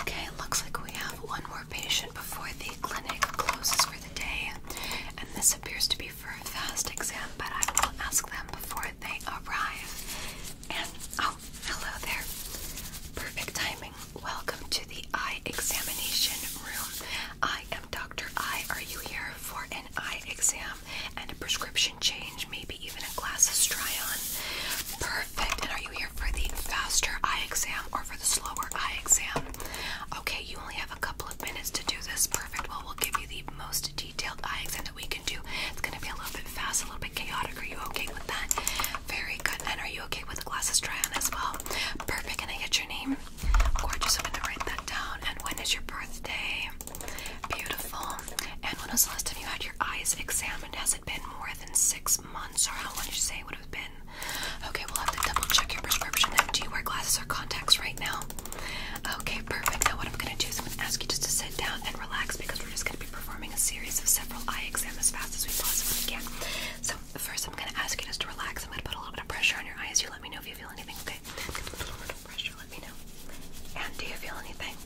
Okay, looks like we have one more patient before the clinic closes for the day. And this appears to be for a fast exam, but I will ask them before they arrive. And oh, hello there. Perfect timing. Welcome to the eye examination room. I am Dr. Eye. Are you here for an eye exam and a prescription change, maybe even a glasses try on? Perfect. And are you here? for the faster eye exam or for the slower eye exam? Okay, you only have a couple of minutes to do this. Perfect. Well, we'll give you the most detailed eye exam that we can do. It's going to be a little bit fast, a little bit chaotic. Are you okay with that? Very good. And are you okay with the glasses try on as well? Perfect. Can I get your name? Gorgeous. I'm going to write that down. And when is your birthday? Beautiful. And when was the last time you had your eyes examined? Has it been more than six months, or how long you say it would have been? Okay, we'll have to double check your prescription. Then. Do you wear glasses or contacts right now? Okay, perfect. Now, what I'm going to do is I'm going to ask you just to sit down and relax because we're just going to be performing a series of several eye exams as fast as we possibly can. So, first, I'm going to ask you just to relax. I'm going to put a little bit of pressure on your eyes. You let me know if you feel anything, okay? Put a little bit of pressure, let me know. And do you feel anything?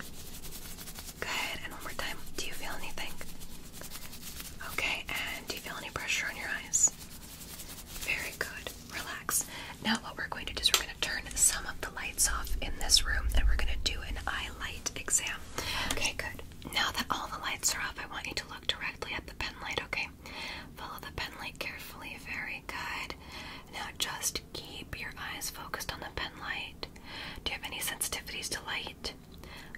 Good. And one more time. Do you feel anything? Okay. And do you feel any pressure on your eyes? Very good. Relax. Now, what we're going to do is we're going to turn some of the lights off in this room and we're going to do an eye light exam. Okay, good. Now that all the lights are off, I want you to look directly at the pen light, okay? Follow the pen light carefully. Very good. Now just keep your eyes focused on the pen light. Do you have any sensitivities to light?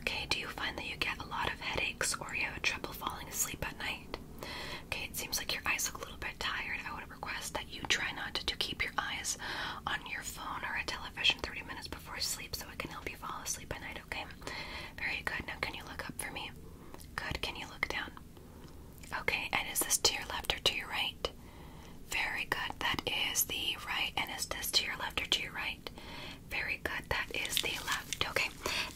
Okay, do you find that you get a lot of headaches or you have trouble falling asleep at night? Okay, it seems like your eyes look a little bit tired. I would request that you try not to, to keep your eyes on your phone or a television 30 minutes before sleep so it can help you fall asleep at night, okay? Very good. Now, can you look up for me? Good. Can you look down? Okay, and is this to your left or to your right? Very good. That is the right. And is this to your left or to your right? Very good. That is the left. Okay.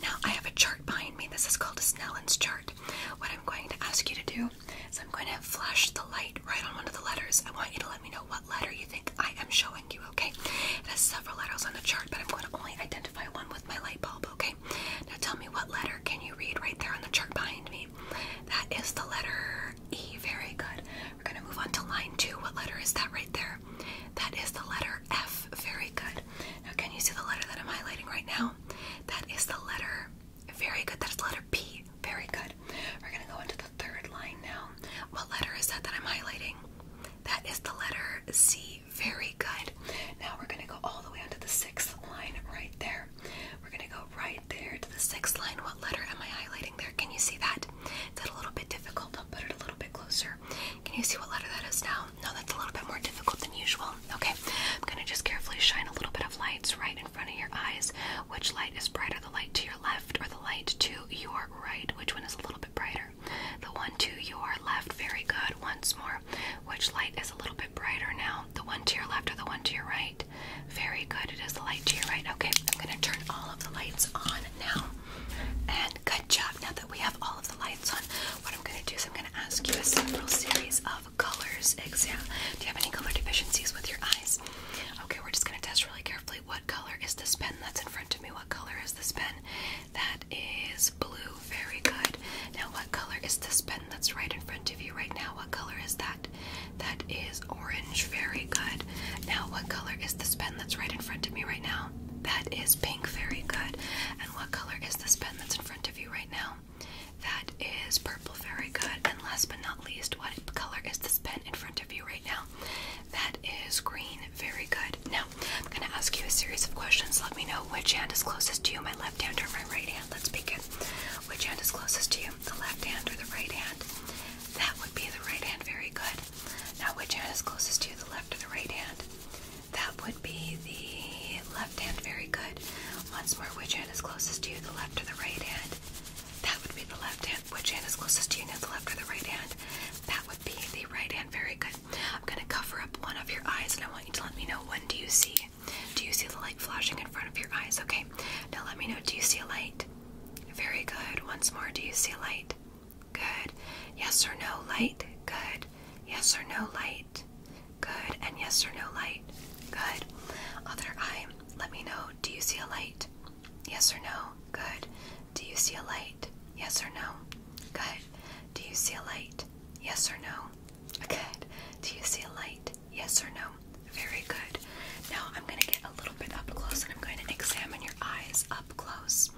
Now I have a chart behind me. This is called a Snellen's chart. What I'm going to ask you to do is I'm going to flash the light right on one of the letters. I want you to let me know what letter you think I am showing you, okay? It has several letters on the chart, but I'm going to only identify one with my light bulb, okay? Now tell me what letter can you read right there on the chart behind me? That is the letter E. Very good. We're going to move on to line two. What letter is that right there? That is the letter F. Very good. Now, can you see the letter that I'm highlighting right now? That is the letter. Very good. That's the letter P. Very good. We're going to go into the third line now. What letter is that that I'm highlighting? That is the letter C. Very good. Now we're going to go all the way onto the sixth line right there. We're going to go right there to the sixth line. What letter am I highlighting there? Can you see that? Is that a little bit difficult? I'll put it a little bit closer. Can you see what letter that is now? No, that's a little bit more difficult than usual. Okay, I'm gonna just carefully shine a little bit of light right in front of your eyes. Which light is brighter, the light to your left or the light to your right? Which one is a little bit brighter? The one to your left. Very good. Once more. Which light is a little bit brighter now? The one to your left or the one to your right? Very good. It is the light to your right. Okay, I'm going to turn all of the lights on now. And good job. Now that we have all of the lights on, what I'm going to do is I'm going to ask you a several series of colors exam. Do you have any color deficiencies with your eyes? Okay, we're just going to test really carefully. What color is this pen that's in front of me? What color is this pen? That is blue. Very good. Now, what color is this pen that's right in front of you right now? What color is that? That is orange. Very good. Now, what color is this pen that's right in front of me right now? That is pink. Very good. And what color is this pen that's in front of you right now? That is purple. Very good. And last but not least, what color is this pen in front of you right now? That is green. Very good. Now, I'm going to ask you a series of questions. Let me know which hand is closest to you, my left hand or my right hand. Let's begin. Which hand is closest to you? the left hand or the right hand? That would be the right hand. Very good. Now, which hand is closest to you, the left or the right hand? That would be the left hand. Very good. Once more, which hand is closest to you, the left or the right hand? That would be the left hand. Which hand is closest to you now, the left or the right hand? That would be the right hand. Very good. I'm going to cover up one of your eyes and I want you to let me know when do you see? Do you see the light flashing in front of your eyes? Okay now let me know. Do you see a light? Very good. Once more, do you see a light? Good. Yes or no light? Good. Yes or no light? Good. And yes or no light? Good. Other eye, let me know. Do you see a light? Yes or no? Good. Do you see a light? Yes or no? Good. Do you see a light? Yes or no? Good. Do you see a light? Yes or no? Very good. Now I'm going to get a little bit up close and I'm going to examine your eyes up close.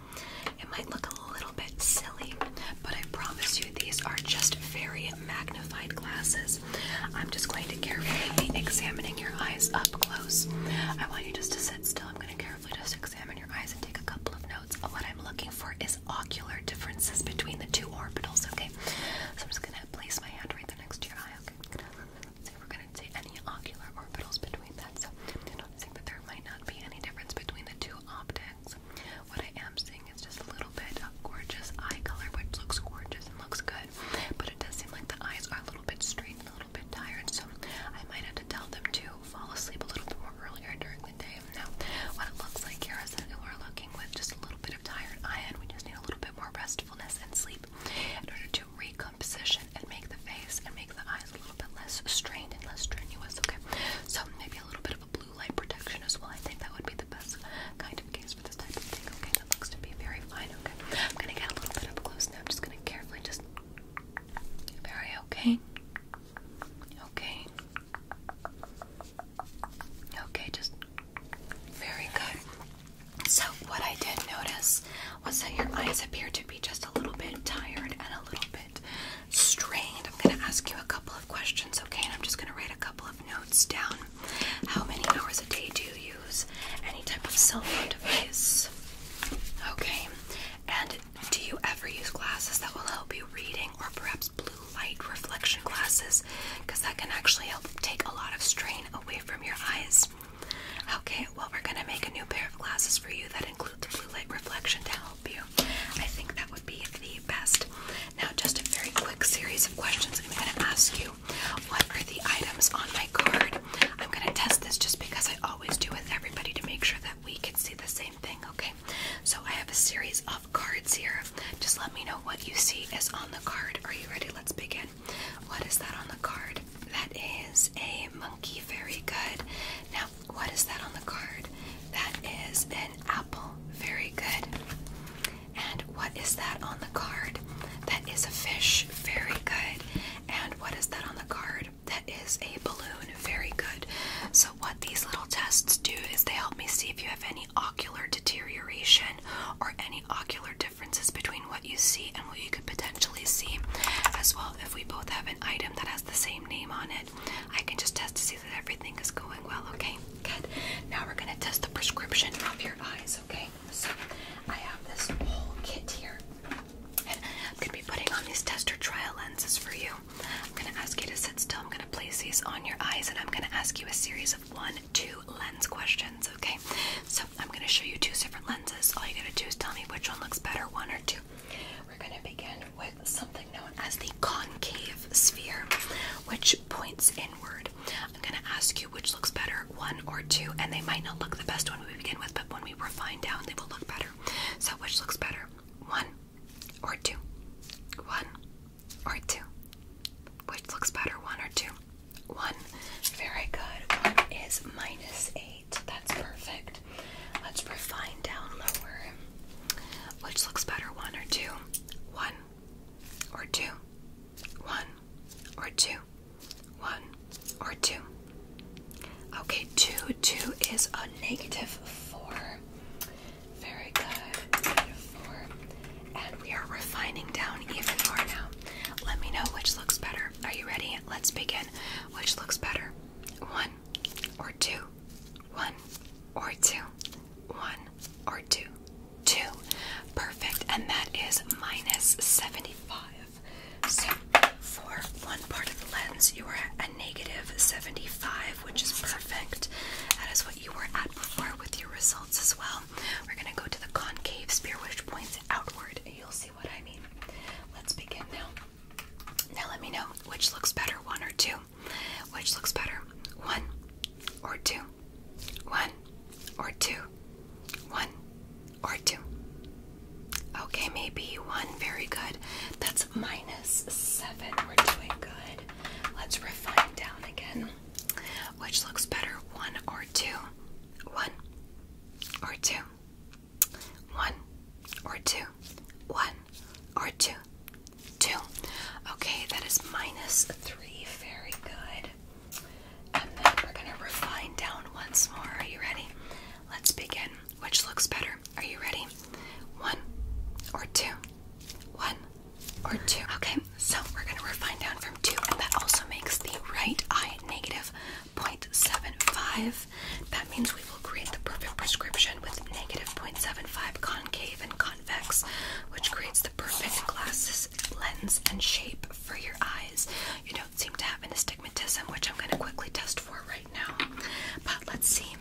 It might look a little bit silly, but I promise you these are just very magnified glasses. I'm just going to carefully be examining your eyes up close. I want you just to sit still. I'm going to carefully just examine your eyes and take a couple of notes. What I'm looking for is ocular differences between the two orbitals, okay? So I'm just going to place my hand right there next to your eye, okay? going we're gonna say any ocular orbitals between that. So I'm not saying that there might not be any difference between the two optics. What I am seeing is just a little bit of gorgeous eye color, which looks gorgeous and looks good. But it does seem like the eyes are a little bit strained a little bit tired. So I might have to tell them to fall asleep a little bit more earlier during the day. Now, what it looks like here is that we're looking with just a little bit of tired eye, and we just need a little bit more rest and sleep in order to recomposition and make the face and make the eyes a little bit less strained and less strenuous. Okay, so maybe a little bit of a blue light protection as well. I think that would be the best kind of case for this type of thing. Okay, that looks to be very fine. Okay, I'm gonna get a little bit up close now. I'm just gonna carefully just very okay. Okay. Okay, just very good. So, what I did notice was that your eyes appear to be just a little bit tired and a little bit strained. I'm going to ask you a couple of questions, okay? And I'm just going to write a couple of notes down. How many hours a day do you use any type of cell phone device? Okay. And do you ever use glasses that will help you reading or perhaps blue light reflection glasses? because that can actually help take a lot of strain away from your eyes. Okay, well, we're gonna make a new pair of glasses for you that include the blue light reflection to help you. I think that would be the best. Now, just a very quick series of questions. I'm gonna ask you what are the items on my card? I'm gonna test this just because I always do with everybody to make sure that we can see the same thing, okay? So, I have a series of cards here. Just let me know what you see is on the card. Are you ready? Let's begin. What is that on the card? That is a monkey. Very good. Now, what is that on the card? That is an apple. Very good. And what is that on the card? That is a fish. Very good. And what is that on the card? That is a balloon. Very good. So, what these little tests do is they help me see if you have any ocular deterioration or any ocular differences between what you see and what you could potentially see. As well, if we both have an item that has the same name on it, I can just test to see that everything is going well, okay? Good. Now we're gonna test the prescription of your eyes, okay? So I have this whole kit here. And I'm gonna be putting on these tester trial lenses for you. I'm gonna ask you to sit still. I'm gonna place these on your eyes and I'm gonna ask you a series of one two lenses questions, okay? So I'm gonna show you two different lenses. All you gotta do is tell me which one looks better, one or two. We're gonna begin with something known as the concave sphere, which points inward. I'm gonna ask you which looks better, one or two, and they might not look the best when we begin with, but when we refine down, they will look better. So which looks better? One or two? One or two? Which looks better, one or two? One. Very good. One is minus eight. That's perfect. Let's refine down lower. Which looks better, one or two? One or two? One or two? One or two? Okay, two. Two is a negative four. Very good. And we are refining down even more now. Let me know which looks better. Are you ready? Let's begin. Which looks better? One or two? One or two? One or two? Two. Perfect. And that is minus 75. So for one part of the lens, you are at a negative 75, which is perfect. That is what you were at before with your result as well. We're going to go to the concave spear, which points outward. You'll see what I mean. Let's begin now. Now, let me know which looks better one or two. Which looks better one or two? One or two? One or two? Okay, maybe one. Very good. That's minus seven. We're doing good. Let's refine down again. Which looks better, one or two? One or two? One or two? One or two? Two. Okay, that is minus three. Very good. And then we're gonna refine down once more. Are you ready? Let's begin. Which looks better? Are you ready? One or two? One or two. Okay, so we're gonna refine down from two, and that also makes the right eye negative 0.75. That means we will create the perfect prescription with negative 0.75 concave and convex, which creates the perfect glasses lens and shape for your eyes. You don't seem to have an astigmatism, which I'm gonna quickly test for right now. But let's see.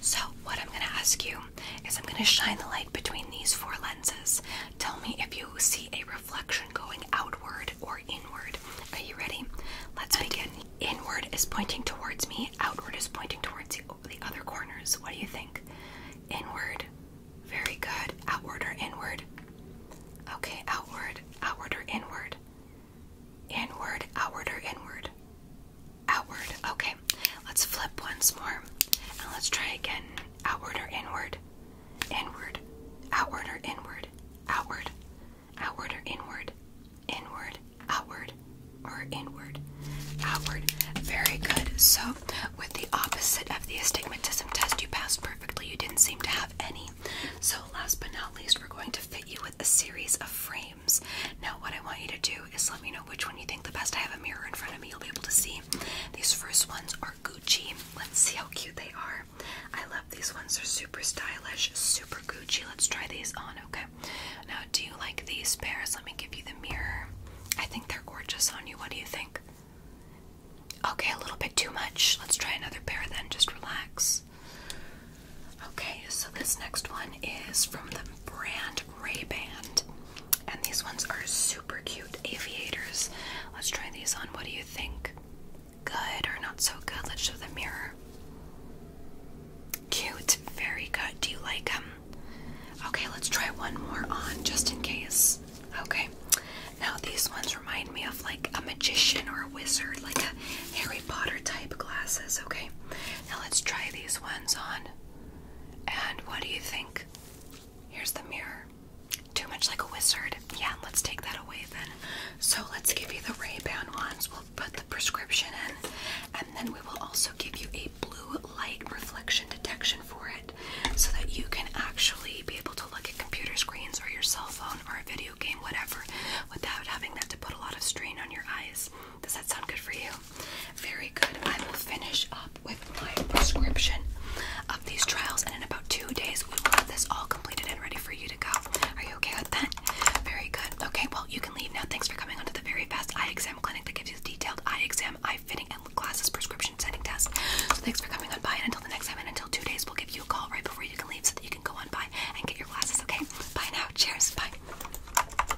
So, what I'm gonna ask you is I'm going to shine the light between these four lenses. Tell me if you see a reflection going outward or inward. Are you ready? Let's begin. Inward is pointing towards me, outward is pointing towards the, the other corners. What do you think? Inward. Very good. Outward or inward? Okay, outward. Outward or inward? Inward, outward or inward? outward. Okay, let's flip once more and let's try again. Outward or inward? Inward. Outward or inward? Outward. Outward or inward? Inward. Outward or inward? Outward. Very good. So, with the opposite of the astigmatism test, you passed perfectly. You didn't seem to have any. So, last but not least, we're going to fit you with a series of frames. Now, what I want you to do is let me which one you think the best. I have a mirror in front of me, you'll be able to see. These first ones are Gucci. Let's see how cute they are. I love these ones, they're super stylish, super Gucci. Let's try these on, okay? Now, do you like these pairs? Let me give you the mirror. I think they're gorgeous on you. What do you think? Okay, a little bit too much. Let's try another pair then, just relax. Okay, so this next one is from the brand Ray-Ban. And these ones are super cute aviators. Let's try these on. What do you think? Good or not so good? Let's show the mirror. Cute, very good. Do you like them? Okay, let's try one more on just in case. Okay, now these ones remind me of like a magician or a wizard, like a Harry Potter type glasses. Okay, now let's try these ones on. And what do you think? Here's the mirror. Too much like a wizard. Yeah, let's take that away then. So let's give you the Ray-Ban ones. We'll put the prescription in. And then we will also give you a blue light reflection detection for it so that you can actually be able to look at computer screens or your cell phone or a video game, whatever, without having that to put a lot of strain on your eyes. Does that sound good for you? Very good. I will finish up with my prescription of these trials, and in about two days, we will have this all completed and ready for you to go. Are you okay with that? Very good. Okay, well, you can leave now. Thanks for coming onto the very fast eye exam clinic that gives you the detailed eye exam, eye fitting, and glasses prescription setting test. So, thanks for coming on by, and until the next time, and until two days, we'll give you a call right before you can leave so that you can go on by and get your glasses, okay? Bye now. Cheers. Bye.